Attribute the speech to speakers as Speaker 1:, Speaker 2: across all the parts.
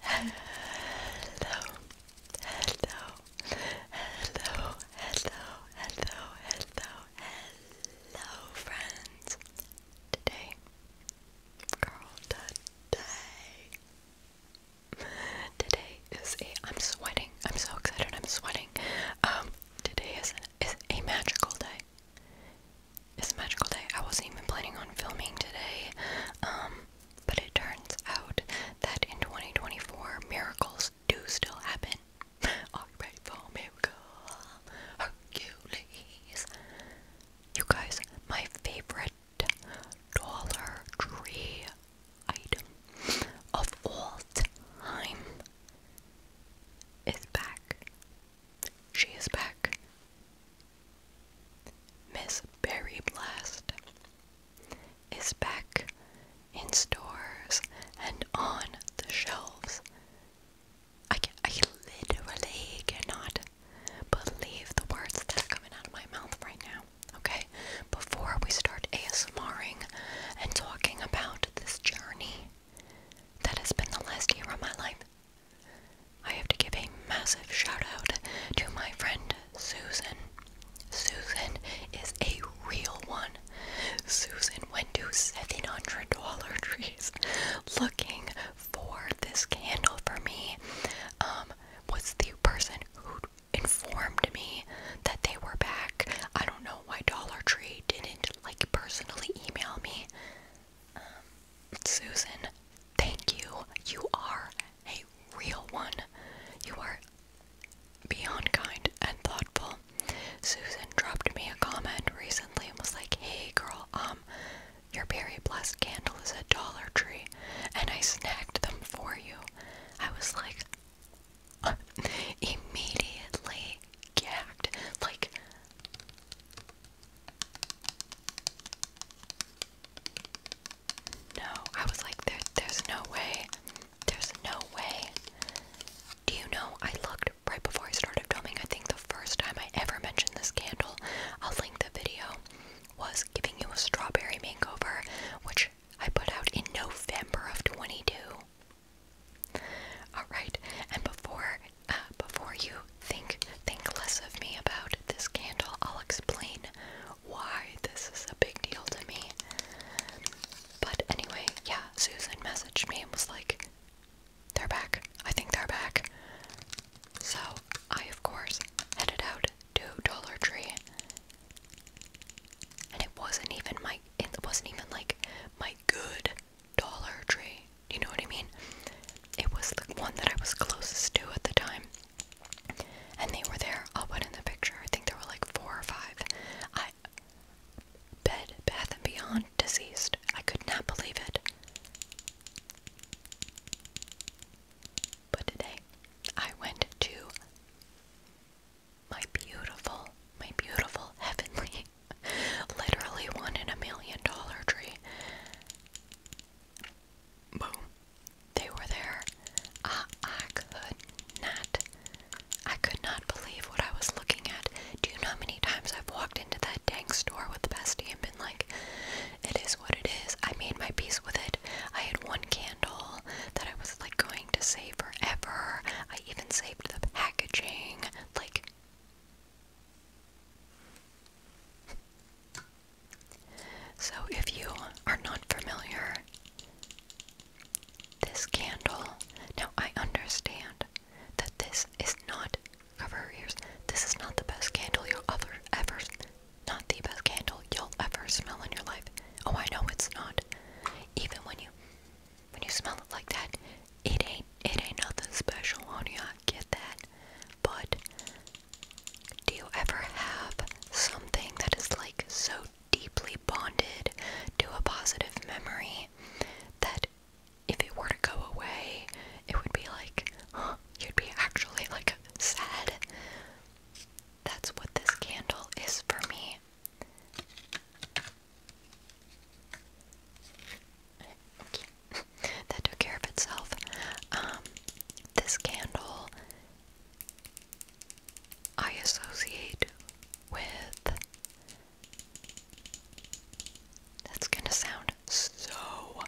Speaker 1: Hello, hello, hello, hello, hello, hello, hello, friends. Today, girl, today, today is a. I'm sweating. I'm so excited. I'm sweating. Um, today is an, is a magical day. It's a magical day. I wasn't even planning on filming today. Um, but it turns out that in 2024, miracles do still happen. Are for miracle? Hercules. You guys, my favorite Dollar Tree item of all time is back. She is back. Miss Berry Blast is back in stores and on the shelves. I, can, I literally cannot believe the words that are coming out of my mouth right now. Okay, before we start ASMRing and talking about this journey that has been the last year of my life, I have to give a massive shout out to my friend Susan. Susan is a real one. Susan went to $700 Dollar Trees looking for this candle for me. Um, was the person who informed me that they were back. I don't know why Dollar Tree didn't like personally email me. Um, Susan, thank you. You are a real one. You are beyond kind and thoughtful. Susan dropped me a comment recently and was like, hey girl, um, your berry blessed candle is at Dollar Tree and I snagged them for you. I was like, immediately gagged. Like, no, I was like, there, there's no way. There's no way. Do you know, I looked right before I started filming, I think the first time I ever mentioned this candle, I'll link the video, was giving you a strawberry makeover, which I put out in November of 22. Alright, and before uh, before you think think less of me about this candle, I'll explain why this is a big deal to me. But anyway, yeah, Susan messaged me and was like, "They're back. I think they're back." So I, of course, headed out to Dollar Tree, and it wasn't even my it wasn't even like my good Dollar Tree. You know what I mean? It was the one that I was closest to at the time. And they were there. i put in the picture. I think there were like four or five. I Bed, Bath and Beyond deceased. I could not believe it. But today I went to my beautiful, my beautiful heavenly, literally one in a million dollar tree. Boom. They were there. I, ah, I could not. I could not believe what I was looking at. Do you know how many times I've walked into that tank store with the bestie and been like, it is what it is. I made my peace with it. I had one candle that I was like going to save forever. I even saved the packaging. Like, so, if you are not familiar, this candle. Now, I understand that this is not cover ears. This is not the best candle you'll ever, ever, not the best candle you'll ever smell in your life. Oh, I know it's not. Even when you, when you smell it like that, it ain't it ain't nothing special on you, I get that. But do you ever have something that is like so deeply bonded to a positive memory that if it were to go away, it would be like you'd be actually like sad. That's what this candle is for me. Okay. that took care of itself. Um, this candle I associate with. That's gonna sound so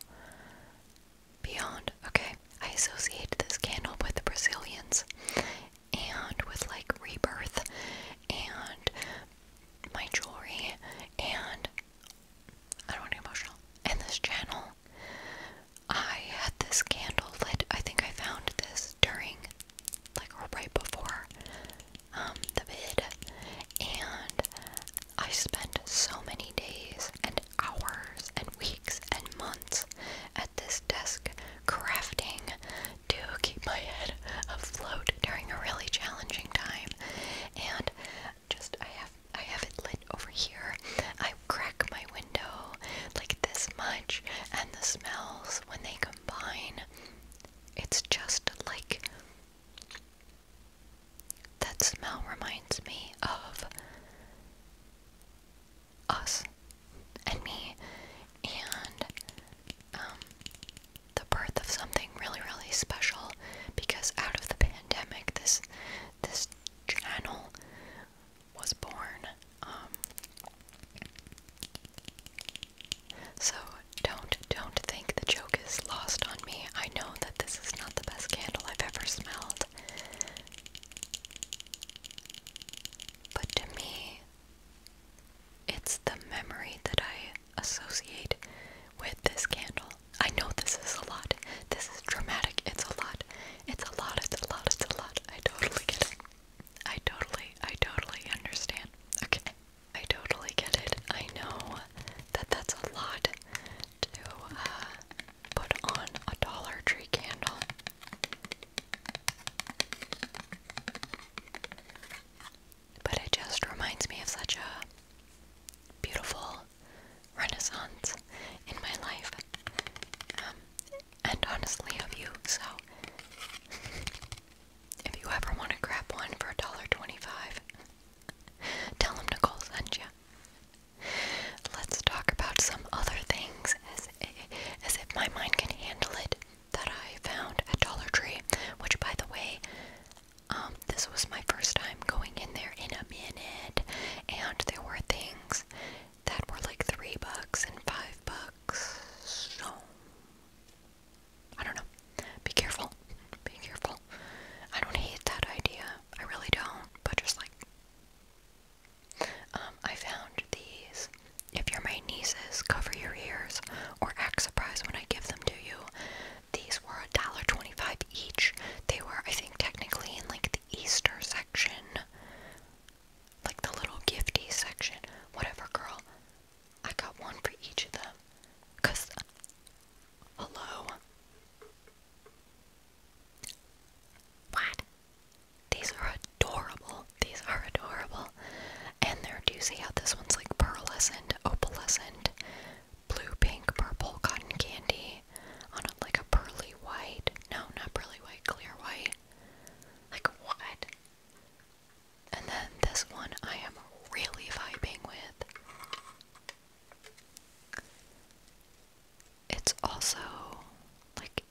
Speaker 1: beyond. Okay, I associate this candle with the Brazilians and with like rebirth and my jewelry and I don't want to get emotional. In this channel, I had this candle lit. I think I found this during, like, right before um, the vid, and I spent so many days and hours and weeks and months at this desk crafting to keep my head afloat during a really challenging time and just I have I have it lit over here. I crack my window like this much, and the smells when they combine, it's just like that smell reminds me of us and me and um, the birth of something really, really special because out of the pandemic, this this channel was born. Um, so don't don't think the joke is lost on me. I know that this is not the best candle I've ever smelled. But to me, it's the memory that I associate with this candle. I know this is a lot. This is dramatic. It's a lot. It's a lot. It's a lot. It's a lot. I totally get it. I totally, I totally understand. Okay. I totally get it. I know that that's a lot to uh, put on a Dollar Tree candle but it just reminds me of such a beautiful renaissance in my life. Um, and honestly, of you, so if you ever want to grab one for $1.25, tell them Nicole sent you. Let's talk about some other things as if my mind can handle it that I found at Dollar Tree, which by the way, um, this was my first time going in there in a minute, and there were things that were like three bucks and five bucks. So I don't know. Be careful. Be careful. I don't hate that idea. I really don't. But just like, um, I found these if you're my nieces, cover your ears or act surprised when I give them to you. These were $1.25 each. They were, I think, technically in like the Easter section, like the little gifty section. Whatever, girl. I got one for each of them. Cause, hello? What? These are adorable. These are adorable. And they're doozy out. This one's like pearlescent, opalescent, blue, pink, purple, cotton candy on a, like a pearly white. No, not pearly white, clear white. Like what? And then this one I am really vibing with. It's also like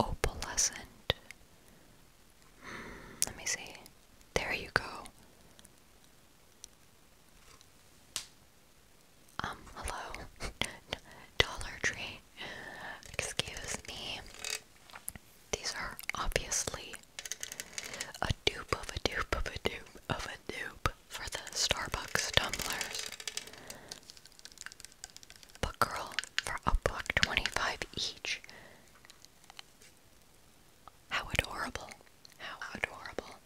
Speaker 1: opalescent let me see. There you go. Um, hello? Dollar Tree? Excuse me. These are obviously a doop of a doop of a doop of a doop for the Starbucks tumblers. But girl, for a buck twenty-five each, how adorable. How adorable.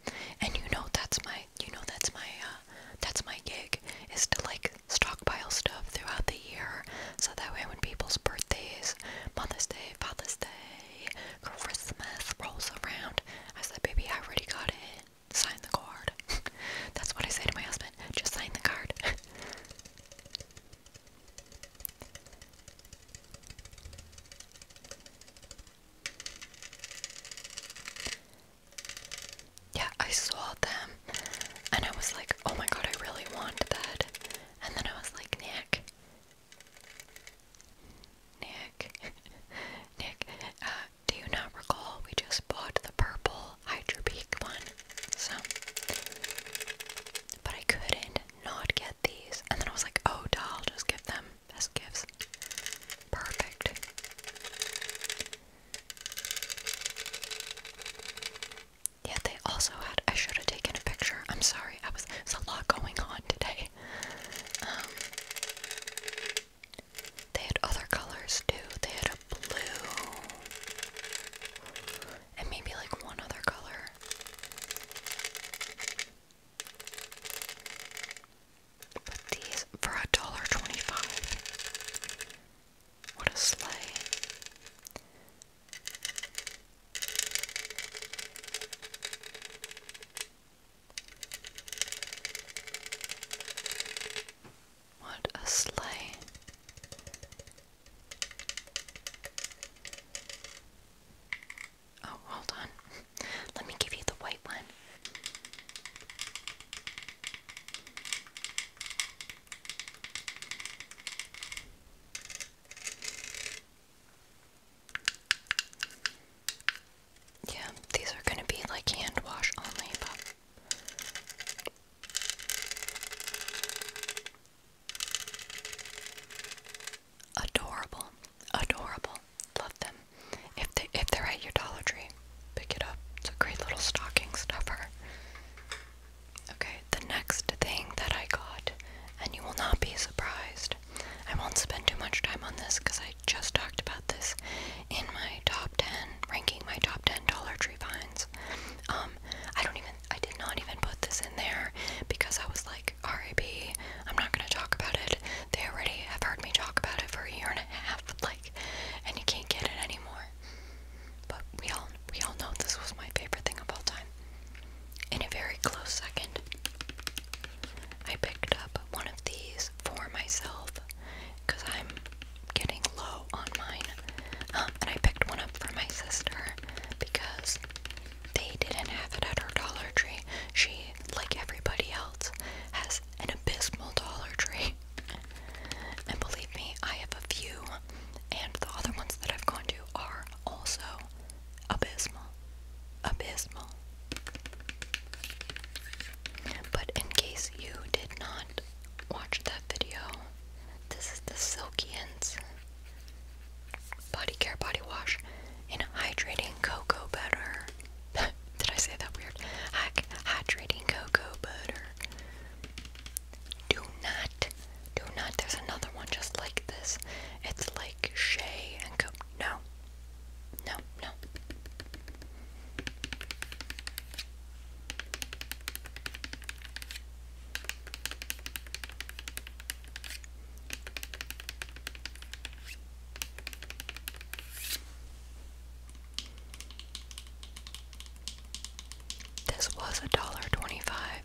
Speaker 1: And you know that's my you know that's my uh that's my gig is to like stockpile stuff throughout the year so that way when people's birthdays, Mother's Day, Father's Day, Christmas rolls around, I said, baby, I already got it. Sign the card. That's what I say to my husband. Just sign the card. Yeah, I saw them and I was like, oh my god, I really want that. And then I was like, Nick, Nick, Nick, uh, do you not recall we just bought the purple Hydropeak Hydro one. So, but I couldn't not get these, and then I was like, oh, doll, just give them best gifts. Perfect. Yeah, they also had. I should have taken a picture. I'm sorry. I was. There's a lot going on today. Um, they had other colors too. They had blue, and maybe like one other color. But these for a dollar twenty-five. What a sleigh. What a sleigh. Oh, hold on. Let me give you the white one. Yeah, these are going to be like hand wash only, Adorable, adorable. Love them. If they if they're at your Dollar Tree, pick it up. It's a great little stocking stuffer. Okay, the next thing that I got, and you will not be surprised. I won't spend too much time on this because I just talked about this in my top ten ranking my top ten Dollar Tree finds. Um, um, I don't even, I did not even put this in there because I was like, RIP, I'm not gonna talk about it. They already have heard me talk about it for a year and a half, like, and you can't get it anymore. But we all, we all know this was my favorite thing of all time. In a very close second, I picked up one of these for myself because I'm getting low on mine. Um, and I picked one up for my sister because they didn't have it at her Dollar Tree. She, like everybody else, has an abysmal Dollar Tree. And believe me, I have a few, and the other ones that I've gone to are also abysmal. Abysmal. But in case you did not watch that video. This is the Silky Ends Body Care Body Wash in Hydrating Cocoa Butter. Did I say that weird? Hy hydrating Cocoa Butter. Do not, do not. There's another one just like this. It's like Shea and Cocoa. No, no, no. This was a dollar twenty five.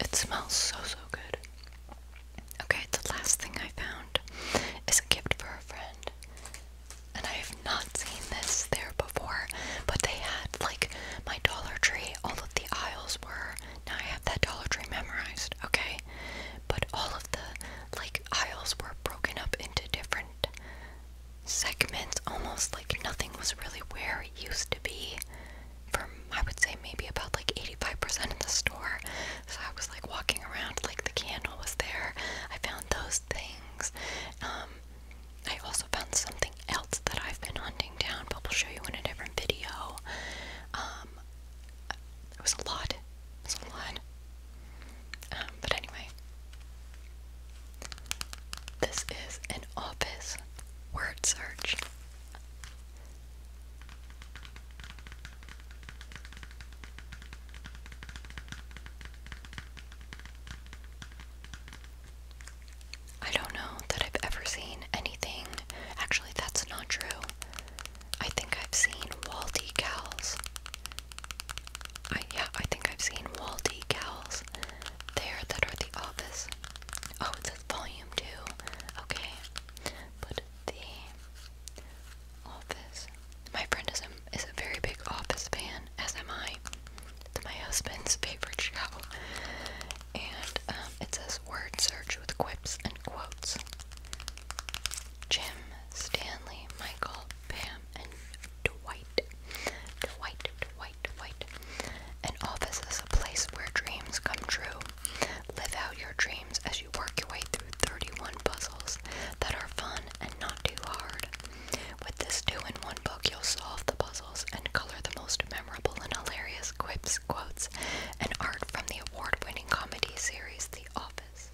Speaker 1: It smells so, so good. Okay, the last thing I found is a gift for a friend. And I have not seen this there before, but they had like my Dollar Tree, all of the aisles were now I have that Dollar Tree memorized, okay? But all of the like aisles were broken up into different segments, almost like nothing was really where it used to be. From I would say maybe about like 85% of the store. So I was like walking around, like the candle was there. I found those things. Um, I also found something else that I've been hunting down, but we'll show you in a different video. Um, it was a lot. It was a lot. Um, but anyway, this is an office word search. I don't know that I've ever seen anything. Actually, that's not true. I think I've seen wall decals. I, yeah, I think I've seen wall decals there that are the office. Oh, it's says volume 2. Okay. put the office. My friend is a, is a very big office fan, as am I. It's my husband's favorite show and um, it says word search with quips and quotes. Jim, Stanley, Michael, Pam, and Dwight. Dwight, Dwight, Dwight. An office is a place where dreams come true. Live out your dreams as you work your way through 31 puzzles that are fun and not too hard. With this two in one book, you'll solve the puzzles and color the most memorable and hilarious quips, quotes, and art from the award winning comedy series The Office.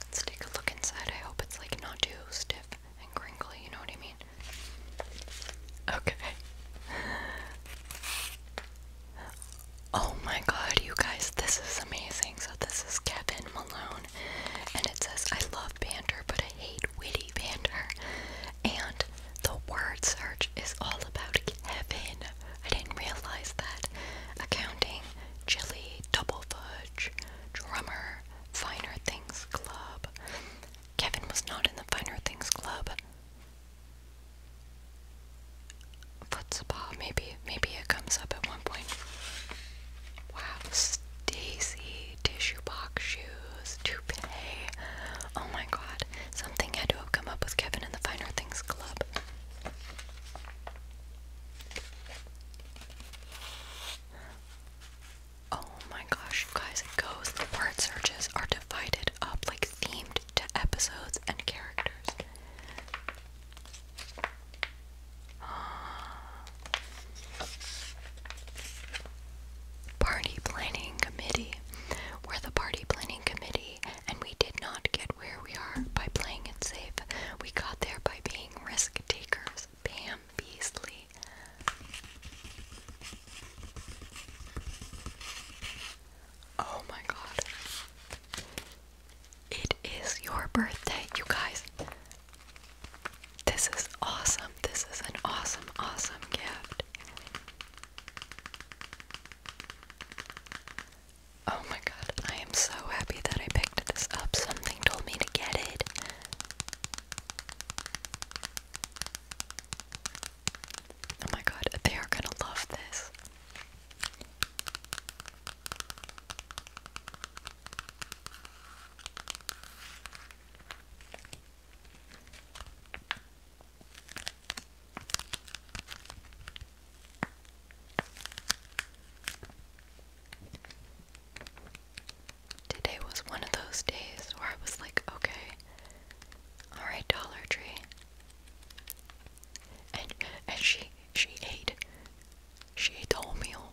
Speaker 1: Let's take a look inside. I hope it's like not too stiff and crinkly, you know what I mean? Okay. Oh my god, you guys, this is amazing. So, this is Kevin Malone, and it says, I love banter, but I hate witty banter. And the word search is all about Kevin. I didn't realize that. Accounting, chili, double fudge, drummer, finer things club. Kevin was not in the finer things club foot Maybe maybe it comes up at one point. Wow, Stacy tissue box shoes, toupee. Oh my god, something had to have come up with Kevin and the Finer Things Club. Oh my gosh, you guys, it goes. The word searches are divided up like themed to episodes and characters. Party Planning Committee. We're the Party Planning Committee, and we did not get where we are by playing it safe. We got there by being risk takers. Pam Beasley. Oh my god. It is your birthday, you guys. This is awesome. This is an awesome, awesome gift. Oh my god, I am so happy that I picked this up. Something told me to get it. Oh my god, they are gonna love this. Today was one of those days where I was like, okay, alright, Dollar Tree, and and she she ate she ate the whole meal.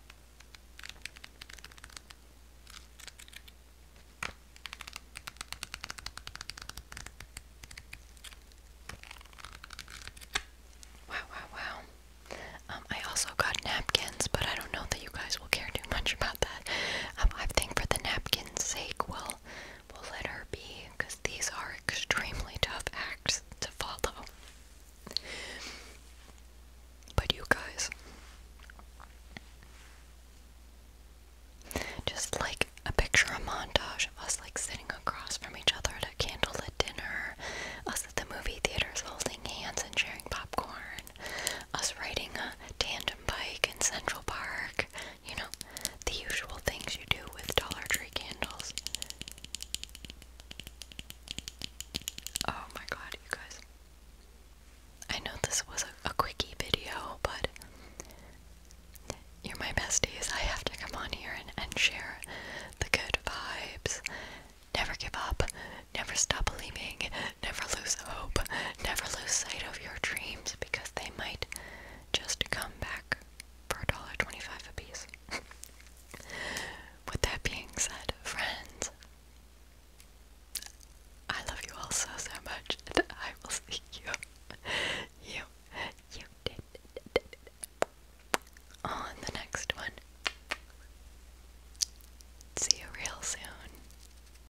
Speaker 1: Wow, wow, wow. Um, I also got napkins, but I don't know that you guys will care too much about that. Um, I think for the napkin's sake, we We'll let her be because these are extremely tough acts to follow. But you guys, just like a picture, a montage of us like sitting across from each other at a candlelit dinner, us at the movie theaters holding hands and sharing popcorn, us riding a tandem bike in Central Park, you know, the usual things you do with Dollar Tree candles. Oh my god, you guys. I know this was a, quickie video, but you're my besties. I have to come on here and, and share the good vibes. Never give up. Never stop believing. Never lose hope. Never lose sight of your dreams because they might just come back for $1.25 a piece. With that being said, friends, I love you all so, so much, and I will see you, you, you, on the next one. See you real soon.